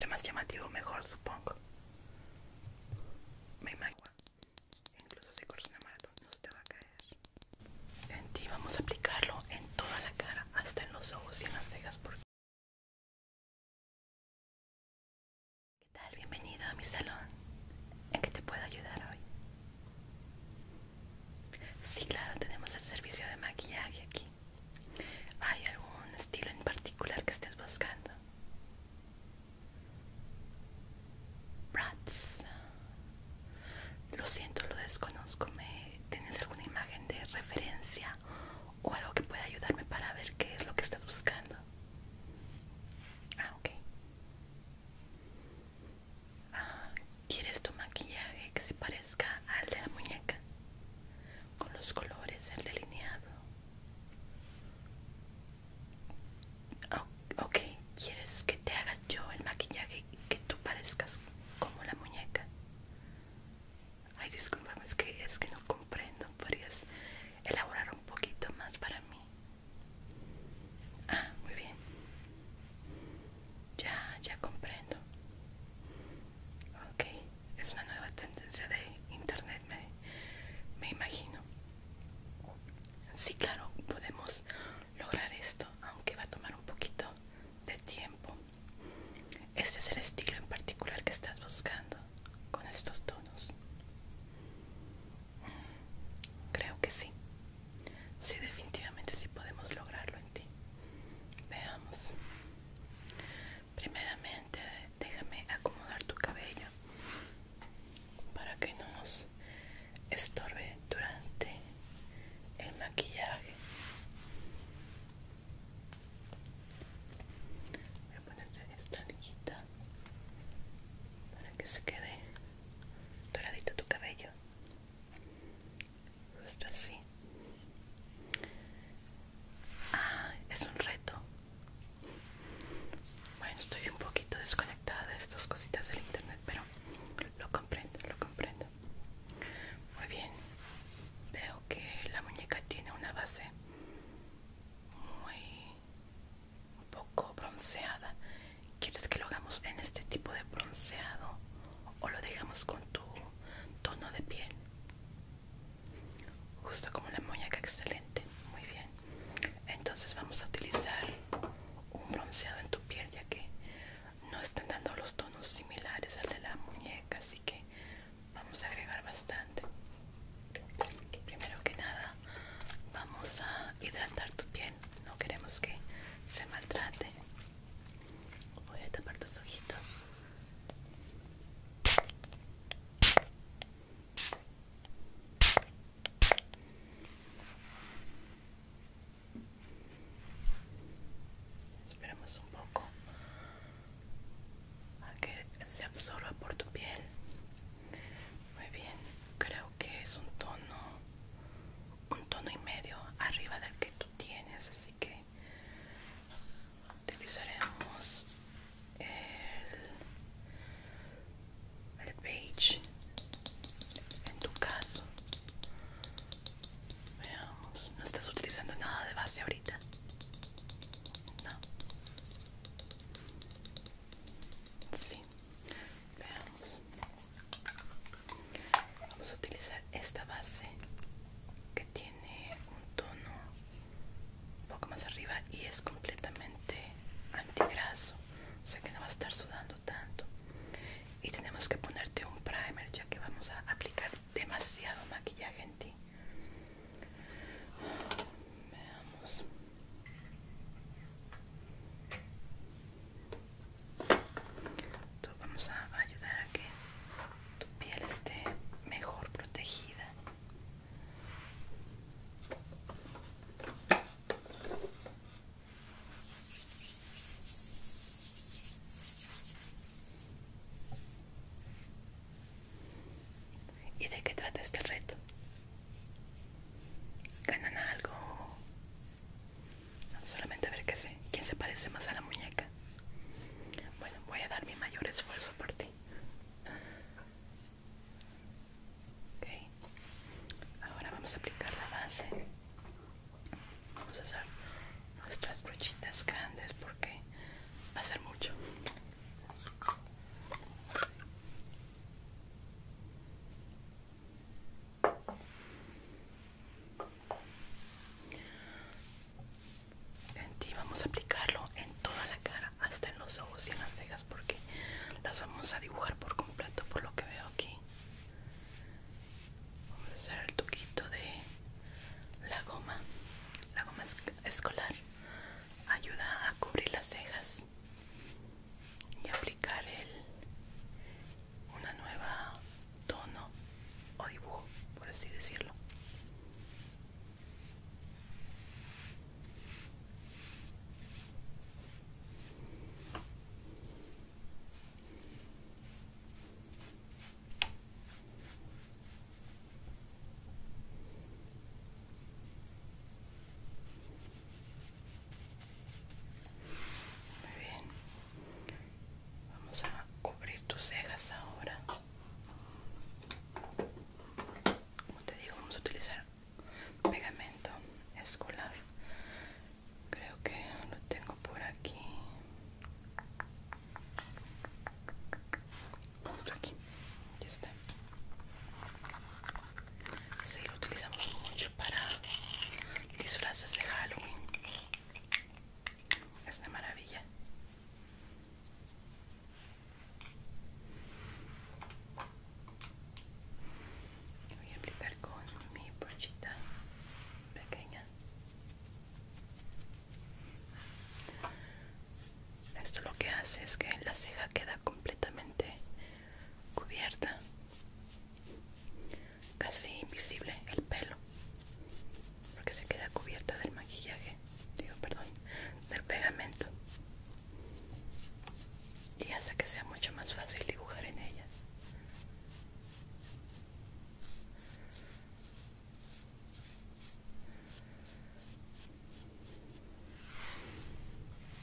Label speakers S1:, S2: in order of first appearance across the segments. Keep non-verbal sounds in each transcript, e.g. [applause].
S1: Lo más llamativo, mejor, supongo. Me imagino. Incluso si corres una maratón, no se te va a caer. En ti vamos a aplicarlo en toda la cara, hasta en los ojos y en las cejas. Porque... ¿Qué tal? Bienvenido a mi salón. ¿En qué te puedo ayudar hoy? Sí, claro, tenemos el servicio de maquillaje aquí. ¿Hay algún estilo en particular que estés buscando? ¿Rats? Lo siento, lo desconozco. tienes alguna imagen de referencia o algo que pueda ayudarme para ver qué es lo que estás buscando? Ah, ok. Ah, ¿Quieres tu maquillaje que se parezca al de la muñeca? con los colores del delineado. ¿quieres que te haga yo el maquillaje y que tú parezcas como la muñeca? Ay, discúlpame, es que, es que no comprendo. ¿Podrías elaborar un poquito más para mí? Ah, muy bien. Ya, ya comprendo. Ok es una nueva tendencia de internet, me, imagino. Sí, claro, podemos lograr esto, aunque va a tomar un poquito de tiempo. Este es el estilo en particular que estás buscando con estos tonos. Creo que sí. Sí, definitivamente sí podemos lograrlo en ti. Veamos primeramente déjame acomodar tu cabello para que no nos estorbe durante el maquillaje voy a ponerte esta liguita para que se quede doradito tu cabello justo así Ah, es un reto. Bueno, estoy un poquito desconectada de estas cositas del internet, pero lo comprendo, lo comprendo. Muy bien. Veo que la muñeca tiene una base muy un poco bronceada. ¿Quieres que lo hagamos en este tipo de bronceado o lo dejamos con tu tono de piel? justo como la muñeca excelente muy bien entonces vamos a utilizar un bronceado en tu piel ya que no están dando los tonos similares al de la muñeca así que vamos a agregar bastante primero que nada vamos a hidratar tu piel no queremos que se maltrate voy a tapar tus ojitos Esperamos un poco a que se absorba por tu piel. Muy bien, creo que es un tono, un tono y medio arriba del que tú tienes, así que utilizaremos el, page en tu caso veamos no estás utilizando nada de base ahorita no sí veamos vamos a utilizar esta base que tiene tiene un tono un poco más arriba y es completamente antigraso o sea que no va a estar sudando tanto y tenemos que ponerte un primer ya que vamos a aplicar demasiado maquillaje en ti veamos entonces vamos a ayudar a que tu piel esté mejor protegida. ¿Y de qué trata este reto? ¿Ganan algo? Solamente a ver qué sé. ¿Quién se parece más a la muñeca? Bueno, voy a dar mi mayor esfuerzo por ti. Ok, ahora vamos a aplicar la base. Vamos a hacer nuestras brochitas grandes porque va a ser mucho en vamos a aplicarlo en toda la cara hasta en los ojos y en las cejas porque las vamos a dibujar por completo por lo que veo aquí vamos a hacer el toquito de la goma la goma escolar ayuda a cubrir las cejas y aplicar una nueva tono o dibujo, por así decirlo. Muy bien. Vamos a cubrir tus cejas ahora. Como te digo, vamos a utilizar pegamento escolar. Creo que lo tengo por aquí. aquí. Ya está. Sí, lo utilizamos mucho para disfraces de Halloween. Es una maravilla. Voy a aplicar con mi brochita pequeña. Esto lo que hace es que la ceja queda completamente cubierta Casi invisible el pelo porque se queda cubierta del maquillaje digo perdón del pegamento y hace que sea mucho más fácil dibujar en ella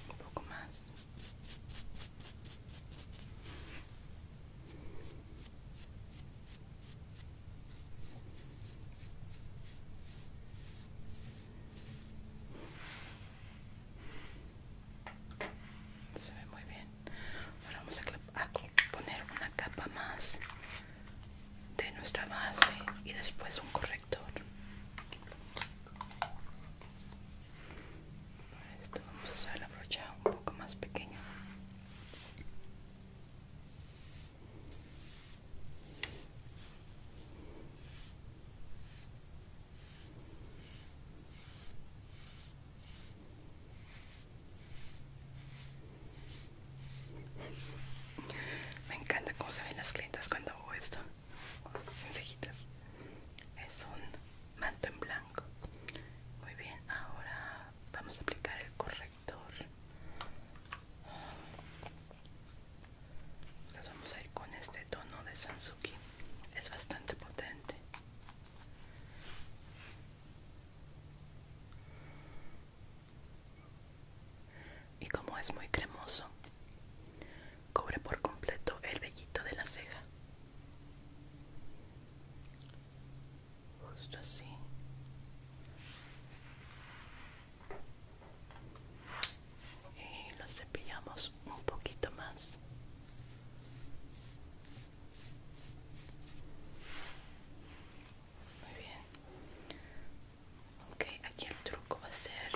S1: un poco más se ve muy bien. Ahora vamos a, poner una capa más de nuestra base y después un corrector. Para esto vamos a usar la brocha un poco más pequeña. Me encanta cómo se ven las clientas cuando hago esto. Sin cejitas. Es un manto en blanco. Muy bien, ahora vamos a aplicar el corrector vamos a ir con este tono de Sanzuki, es bastante potente y como es muy cremoso cubre por completo el vellito de la ceja justo así y lo cepillamos un poquito más muy bien ok aquí el truco va a ser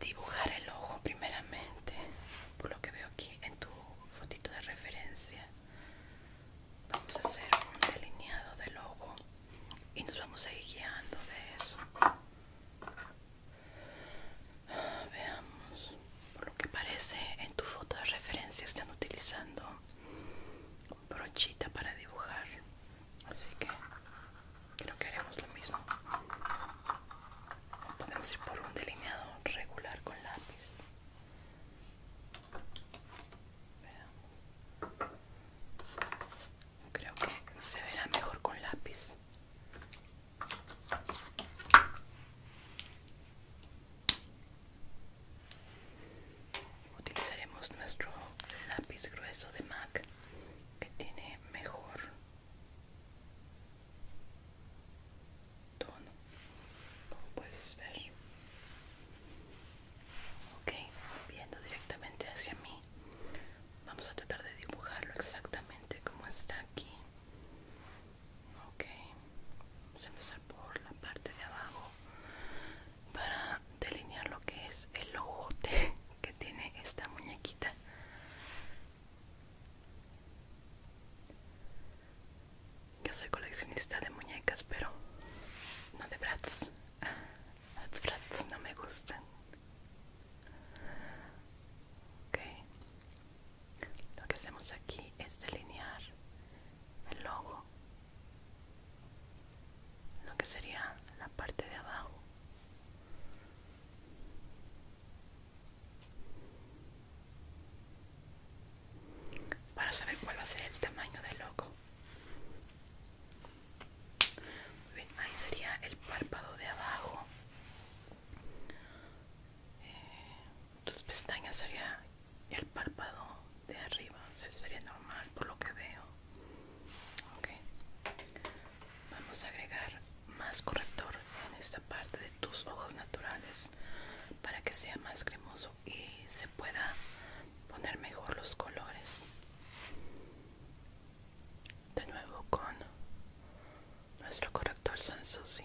S1: dibujar el ojo primeramente por lo que veo aquí en tu fotito de referencia vamos a hacer un delineado del logo y nos vamos a ir guiando de eso veamos por lo que parece en tu foto de referencia están utilizando brochita para dibujar así que creo que haremos lo mismo podemos ir por un delineado regular con lápiz Veamos. Creo que se verá mejor con lápiz. Utilizaremos nuestro lápiz grueso de MAC que tiene mejor tono como puedes ver ok viendo directamente hacia mí vamos a tratar de dibujarlo exactamente como está aquí ok vamos a empezar por la parte de abajo para delinear lo que es el logote [laughs] que tiene esta muñequita yo soy coleccionista de muñecas, pero no de brats. brats no me gustan. Ok. Lo que hacemos aquí es delinear el logo. Lo que sería la parte de abajo para saber cuál va a ser el tamaño del ojo. ahí sería el párpado de abajo. Eh, tus pestañas serían el párpado de arriba, sería normal por lo que veo. Vamos a agregar más corrector en esta parte de tus ojos naturales para que sea más cremoso y se pueda poner mejor los colores de nuevo con nuestro corrector Sansusi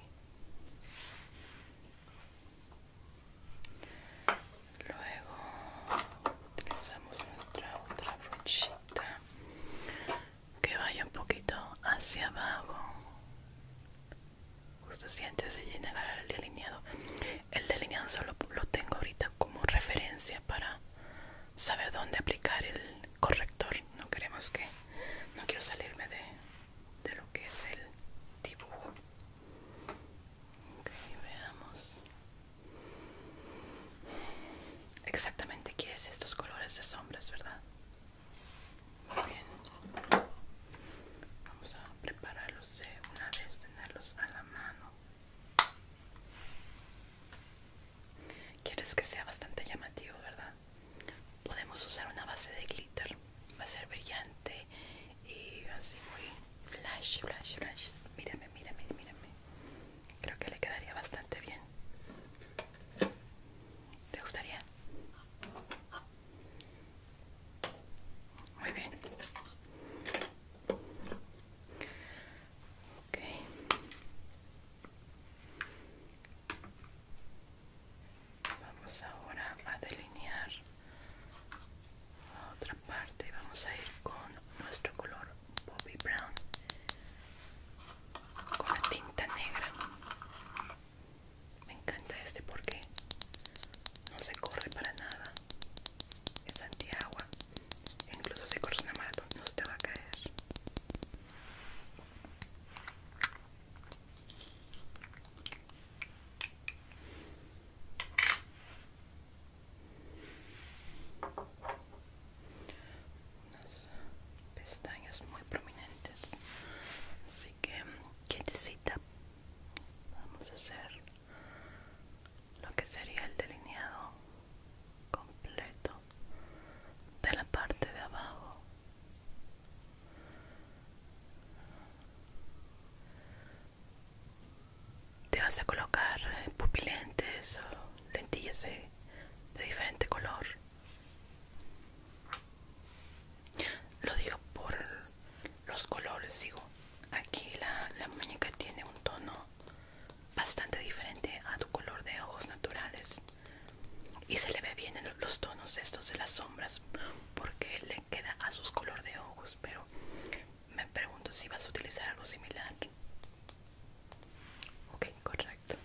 S1: luego utilizamos nuestra otra brochita que vaya un poquito hacia abajo justo antes de llegar el delineado el delineado solo lo tengo ahorita como referencia para saber dónde aplicar el corrector no queremos que no quiero salirme de, de lo que es el dibujo ok veamos exactamente quieres estos colores de sombras verdad muy bien. Vamos a prepararlos una vez, tenerlos a la mano. Quieres que sea bastante llamativo, ¿verdad? Podemos usar una base de glitter. Va a ser brillante y así muy flash, flash, flash. Mírame, mírame, mírame. Creo que le quedaría bastante bien. ¿Te gustaría? Muy bien. Vamos ahora a delinear otra parte y vamos a ir con nuestro color Bobby Brown con la tinta negra. Me encanta este porque no se corre para nada. Es antiagua. Incluso si corres una maratón no se te va a caer. Unas pestañas muy prominentes así que quietecita vamos a hacer lo que sería el delineado completo de la parte de abajo te vas a colocar pupilentes o lentillas de diferente color lo digo por los colores digo aquí la, muñeca tiene un tono bastante diferente a tu color de ojos naturales y se le ve bien en los tonos estos de las sombras porque le queda a sus color de ojos pero me pregunto si vas a utilizar algo similar ok correcto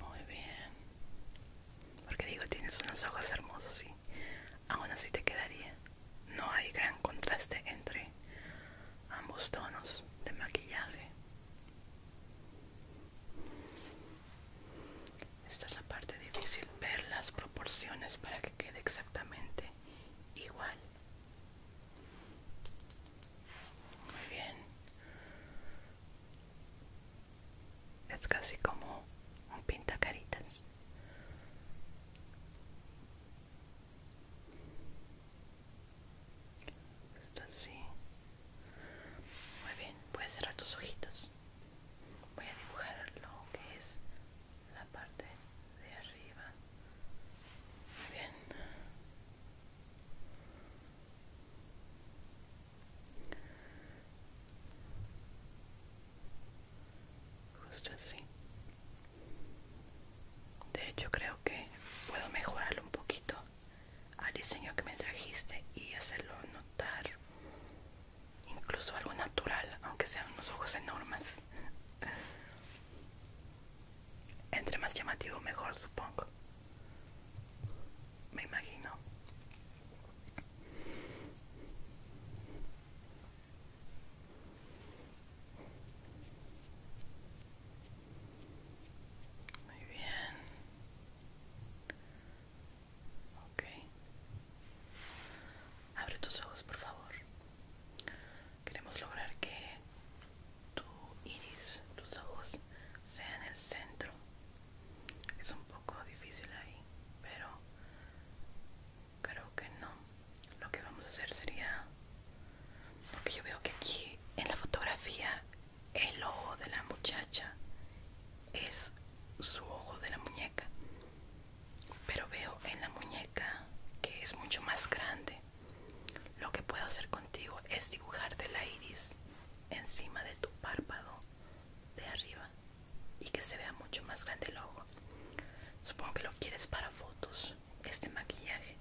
S1: muy bien. Porque digo, tienes unos ojos hermosos y aún así te quedaría. No hay gran contraste entre ambos tonos de maquillaje. Esta es la parte difícil, ver las proporciones para que quede exactamente igual. Muy bien. Es casi como un pintacaritas. Esto así. Muy bien, puedes cerrar tus ojitos. Voy a dibujar lo que es la parte de arriba. Muy bien. Justo así. De hecho, creo que puedo mejorarlo un poquito al diseño que me trajiste y hacerlo notar incluso algo natural, aunque sean unos ojos enormes. Entre más llamativo, mejor, supongo. Me imagino. Muy bien. Ok. Abre tus ojos, por favor. Queremos lograr que tu iris, tus ojos, sean el centro. Es un poco difícil ahí, pero creo que no. Lo que vamos a hacer sería, porque yo veo que aquí en la fotografía el ojo de la muchacha es su ojo de la muñeca pero veo en la muñeca que es mucho más grande. Lo que puedo hacer contigo es dibujarte la iris encima de tu párpado de arriba y que se vea mucho más grande el ojo. Supongo que lo quieres para fotos, este maquillaje.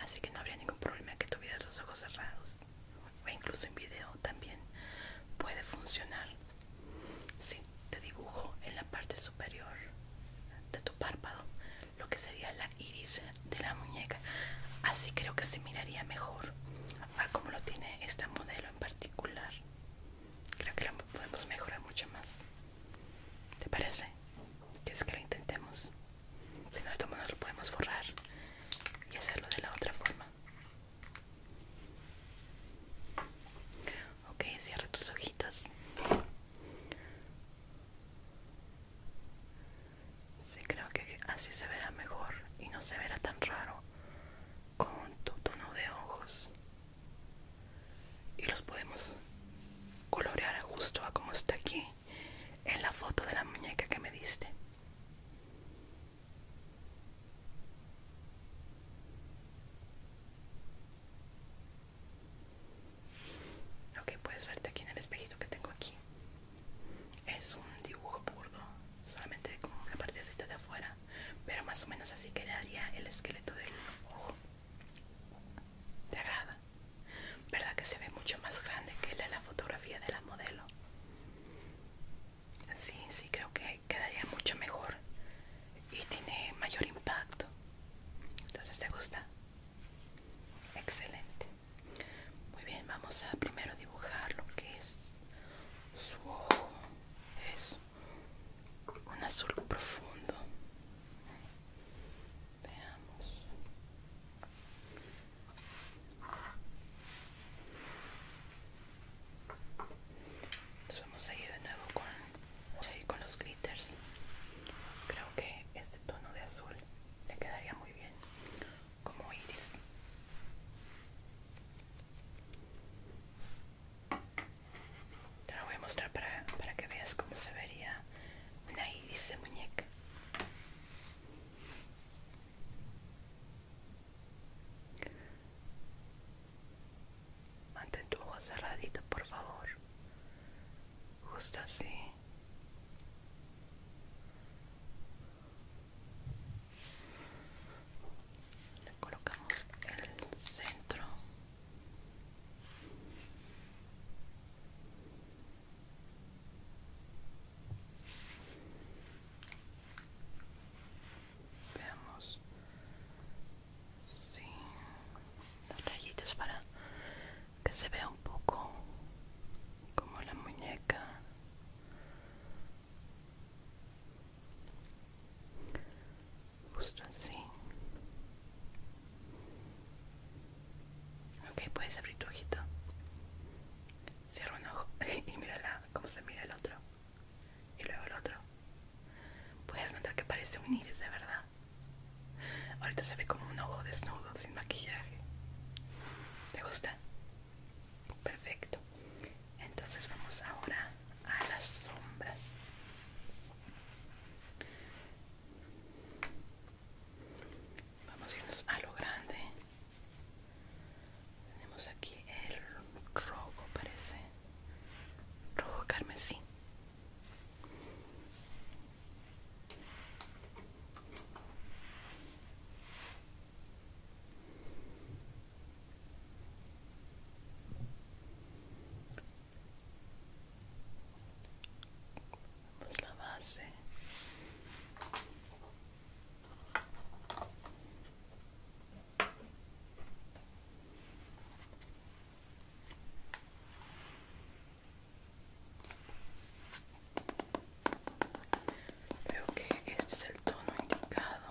S1: Así que no habría ningún problema que tuvieras los ojos cerrados. O incluso en video también puede funcionar. Sí, te dibujo en la parte superior de tu párpado lo que sería la iris de la muñeca. Así creo que se miraría mejor a como lo tiene esta modelo en particular. Creo que la podemos mejorar mucho más. ¿Te parece? ¿Quieres que lo intentemos? Si no, de todo lo podemos borrar y hacerlo de la otra forma. Ok, cierra tus ojitos. Sí, creo que así se verá mejor y no se verá tan raro con tu tono de ojos. Y los podemos colorear justo a como está aquí en la foto de la muñeca que me diste. Ok, puedes verte aquí en el espejito que tengo aquí. Es un dibujo burdo, solamente como una partecita de afuera, pero más o menos así quedaría el esqueleto del ojo. ¿Te agrada? ¿Verdad que se ve mucho más grande que la, la fotografía de la modelo? Sí, sí, creo que quedaría mucho mejor y tiene mayor impacto. Entonces, ¿te gusta? Excelente. Muy bien, vamos a primero dibujar lo que es su ojo. Es un azul profundo. Veamos. Nos vamos a ir de nuevo con, los glitters. Creo que este tono de azul le quedaría muy bien como iris. Te lo voy a mostrar para, para que veas cómo se vería una iris de muñeca. Mantén tu ojo cerradito, por favor. Justo así. Le colocamos el centro. Veamos. Sí. Las rayitas para que se vea un poco como la muñeca. Justo así. Ok, puedes abrir tu ojito. Cierra un ojo [laughs] y mírala, cómo se mira el otro y luego el otro. Puedes notar que parece un iris de verdad. Ahorita se ve como un ojo desnudo, sin maquillaje. ¿Te gusta? Perfecto. Entonces vamos ahora a las sombras. Vamos a irnos a lo grande tenemos aquí el rojo parece rojo carmesí Vamos la base Veo que este es el tono indicado.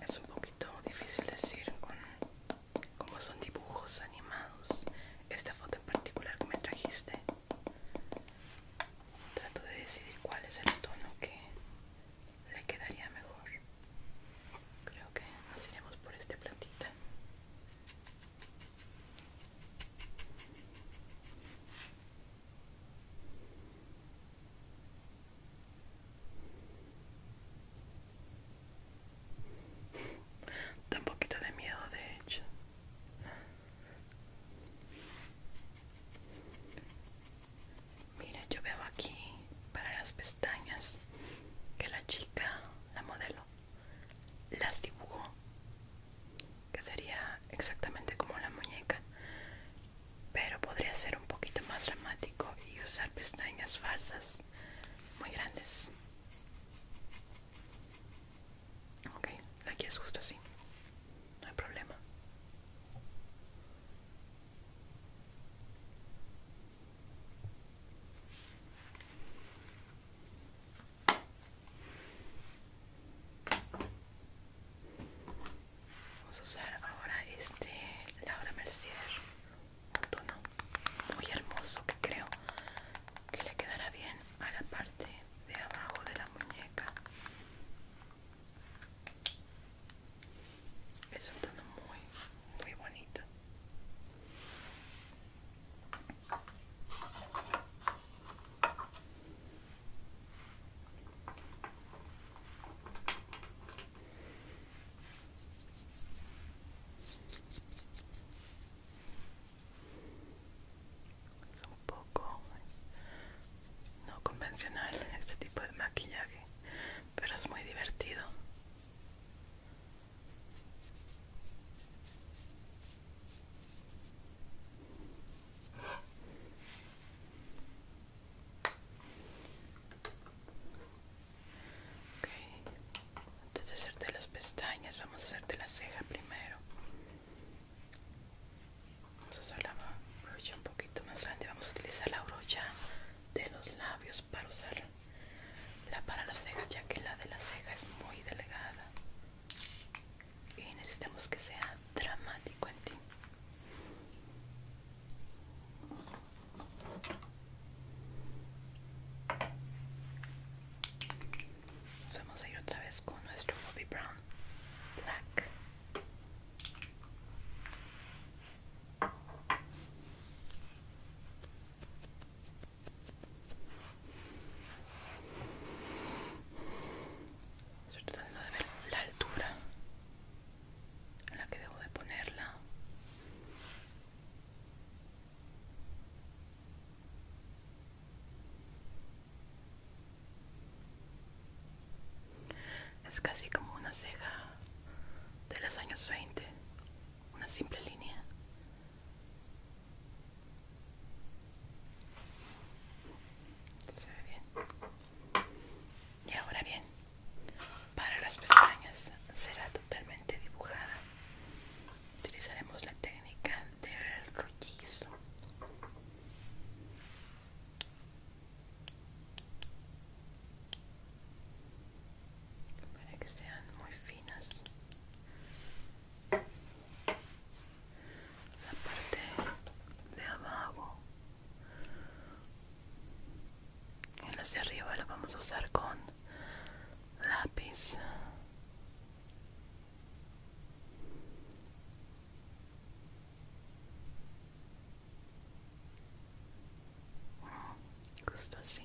S1: Es un poquito difícil decir con como son dibujos animados. Esta foto en particular que me trajiste. Trato de decidir cuál es el tono que le quedaría mejor creo que nos iremos por este plantita tan un poquito de miedo de hecho Mira, yo veo aquí para las pestañas que la chica, la modelo, las dibujó, que sería exactamente como la muñeca, pero podría ser un poquito más dramático y usar pestañas falsas muy grandes. Ok, aquí es justo así no hay problema. Vamos a usar ahora este Laura Mercier, un tono muy hermoso que creo que le quedará bien a la parte de abajo de la muñeca es un tono muy muy bonito un poco no convencional este tipo de maquillaje pero es muy divertido Antes de hacerte las pestañas, vamos a hacerte la ceja primero. Vamos a usar la brocha un poquito más grande. Vamos a utilizar la brocha de los labios para usar la para la ceja, ya que la de la ceja es muy delgada. Y necesitamos que sea dramático en ti. Nos vamos a ir otra vez con nuestro Bobby Brown Black. Estoy tratando de ver la altura en la que debo de ponerla. Es casi como una ceja de los años 20, una simple línea. Se ve bien. Y ahora bien, para las pestañas será totalmente dibujada. Utilizaremos la técnica del rollizo para que sean muy finas la parte de abajo en hacia de arriba la vamos a usar con lápiz Justo así.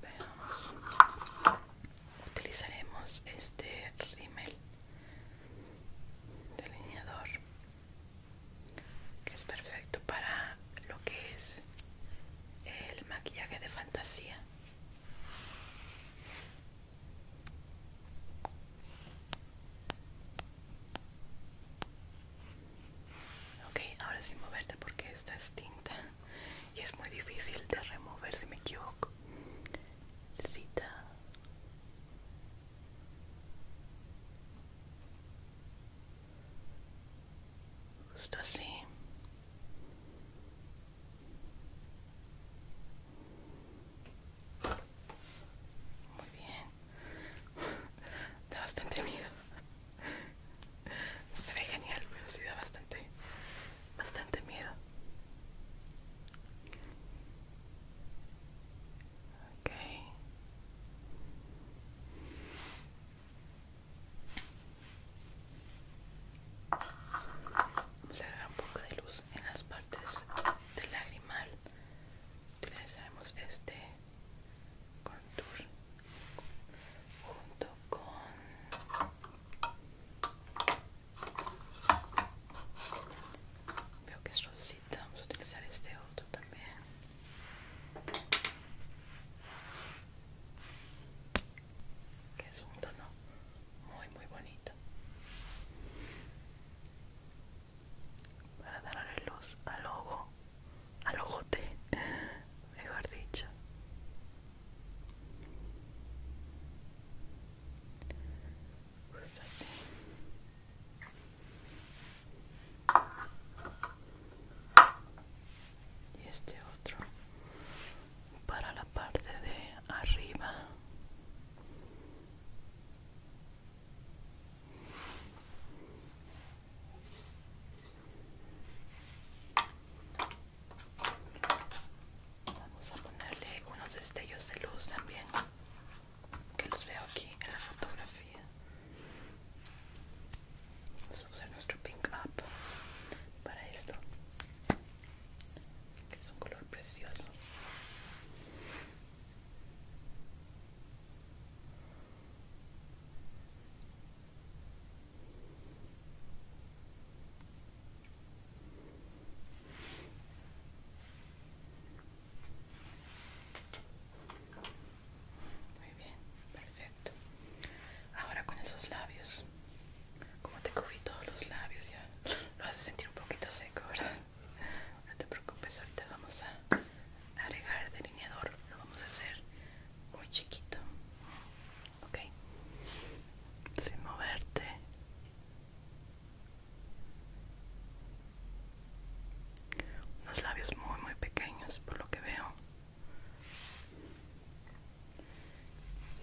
S1: Veamos. Utilizaremos este rímel delineador que es perfecto para lo que es el maquillaje de fantasía ok ahora sin moverte porque esta es tinta y es muy difícil de remover si me equivoco cita justo así muy bien da bastante miedo se ve genial pero sí da bastante bastante miedo Vamos a agarrar un poco de luz en las partes del lagrimal. Utilizaremos este contour junto con Veo que es rosita. Vamos a utilizar este otro también. Que es un tono muy, muy bonito. Para darle luz al ojo, al ojote, [laughs] mejor dicho justo así y este otro para la parte de arriba Vamos a ponerle unos destellos de luz también que los veo aquí en la fotografía. Vamos a usar nuestro Pink Up para esto, que es un color precioso. Muy bien, perfecto. Ahora con esos labios, como te cubrí todos los labios, ya lo a sentir un poquito seco, ¿verdad? No te preocupes, ahorita vamos a agregar delineador, lo vamos a hacer muy chiquito, ¿ok? Sin moverte unos labios muy muy pequeños por lo que veo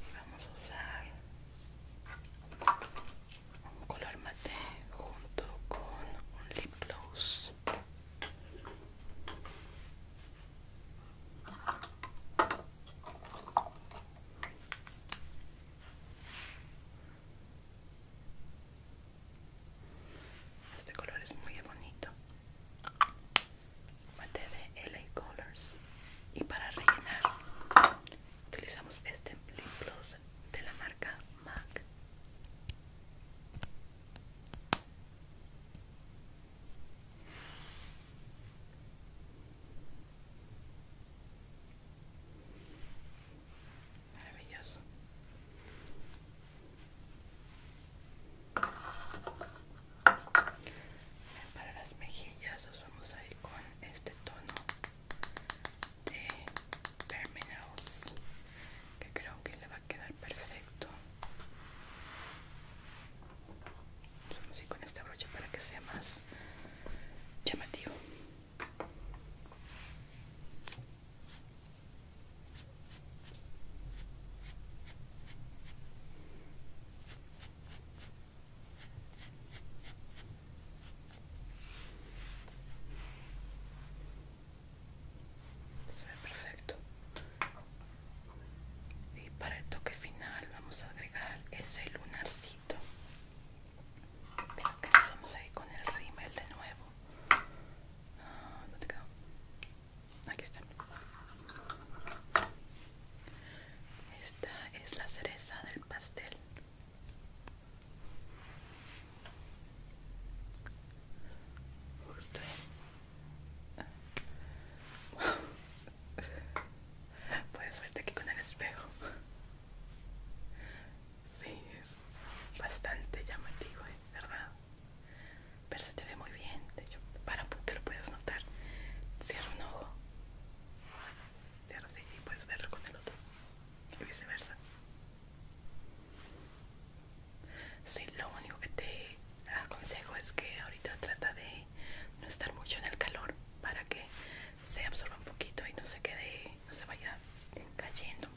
S1: y vamos a usar un color mate junto con un lip gloss este color es muy bonito. Mate de LA Colors. Y para rellenar, utilizamos este lip de la marca MAC. Maravilloso. para las mejillas vamos a ir con este tono de Terminals que creo que le va a quedar perfecto. Vamos a ir con esta brocha para que sea más llamativo. Se perfecto. Y para el toque final vamos a agregar ese lunarcito vamos a ir con el rímel de nuevo. Ah, Aquí está. Esta es la cereza del pastel. Justo. Puedes verte aquí con el espejo. Sí, es bastante llamativo, ¿eh? ¿verdad? Pero se te ve muy bien. De para que lo puedas notar, cierra un ojo. Cierra y puedes verlo con el otro. Y viceversa. Sí, lo único que te aconsejo es que ahorita trata de no estar mucho en el calor para que se absorba un poquito y no se quede, no se vaya cayendo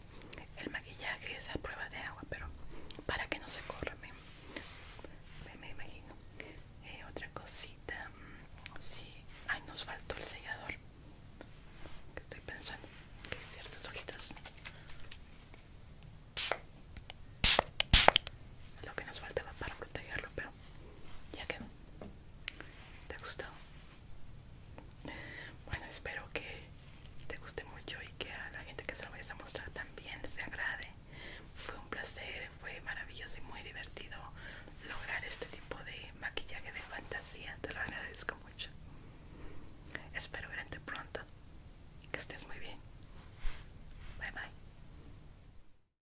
S1: el maquillaje, esa prueba de agua, pero para que no se corra, me, imagino. Eh, otra cosita, mm, si, ay, nos faltó el sellador. Que estoy pensando que hay ciertas hojitas. Lo que nos faltaba para protegerlo, pero ya quedó. ¿Te gustó? Bueno, espero que te guste mucho y que a la gente que se lo vayas a mostrar también se agrade. Fue un placer, fue maravilloso y muy divertido lograr este tipo de maquillaje de fantasía. Te lo agradezco mucho. Espero verte pronto. Que estés muy bien. Bye bye.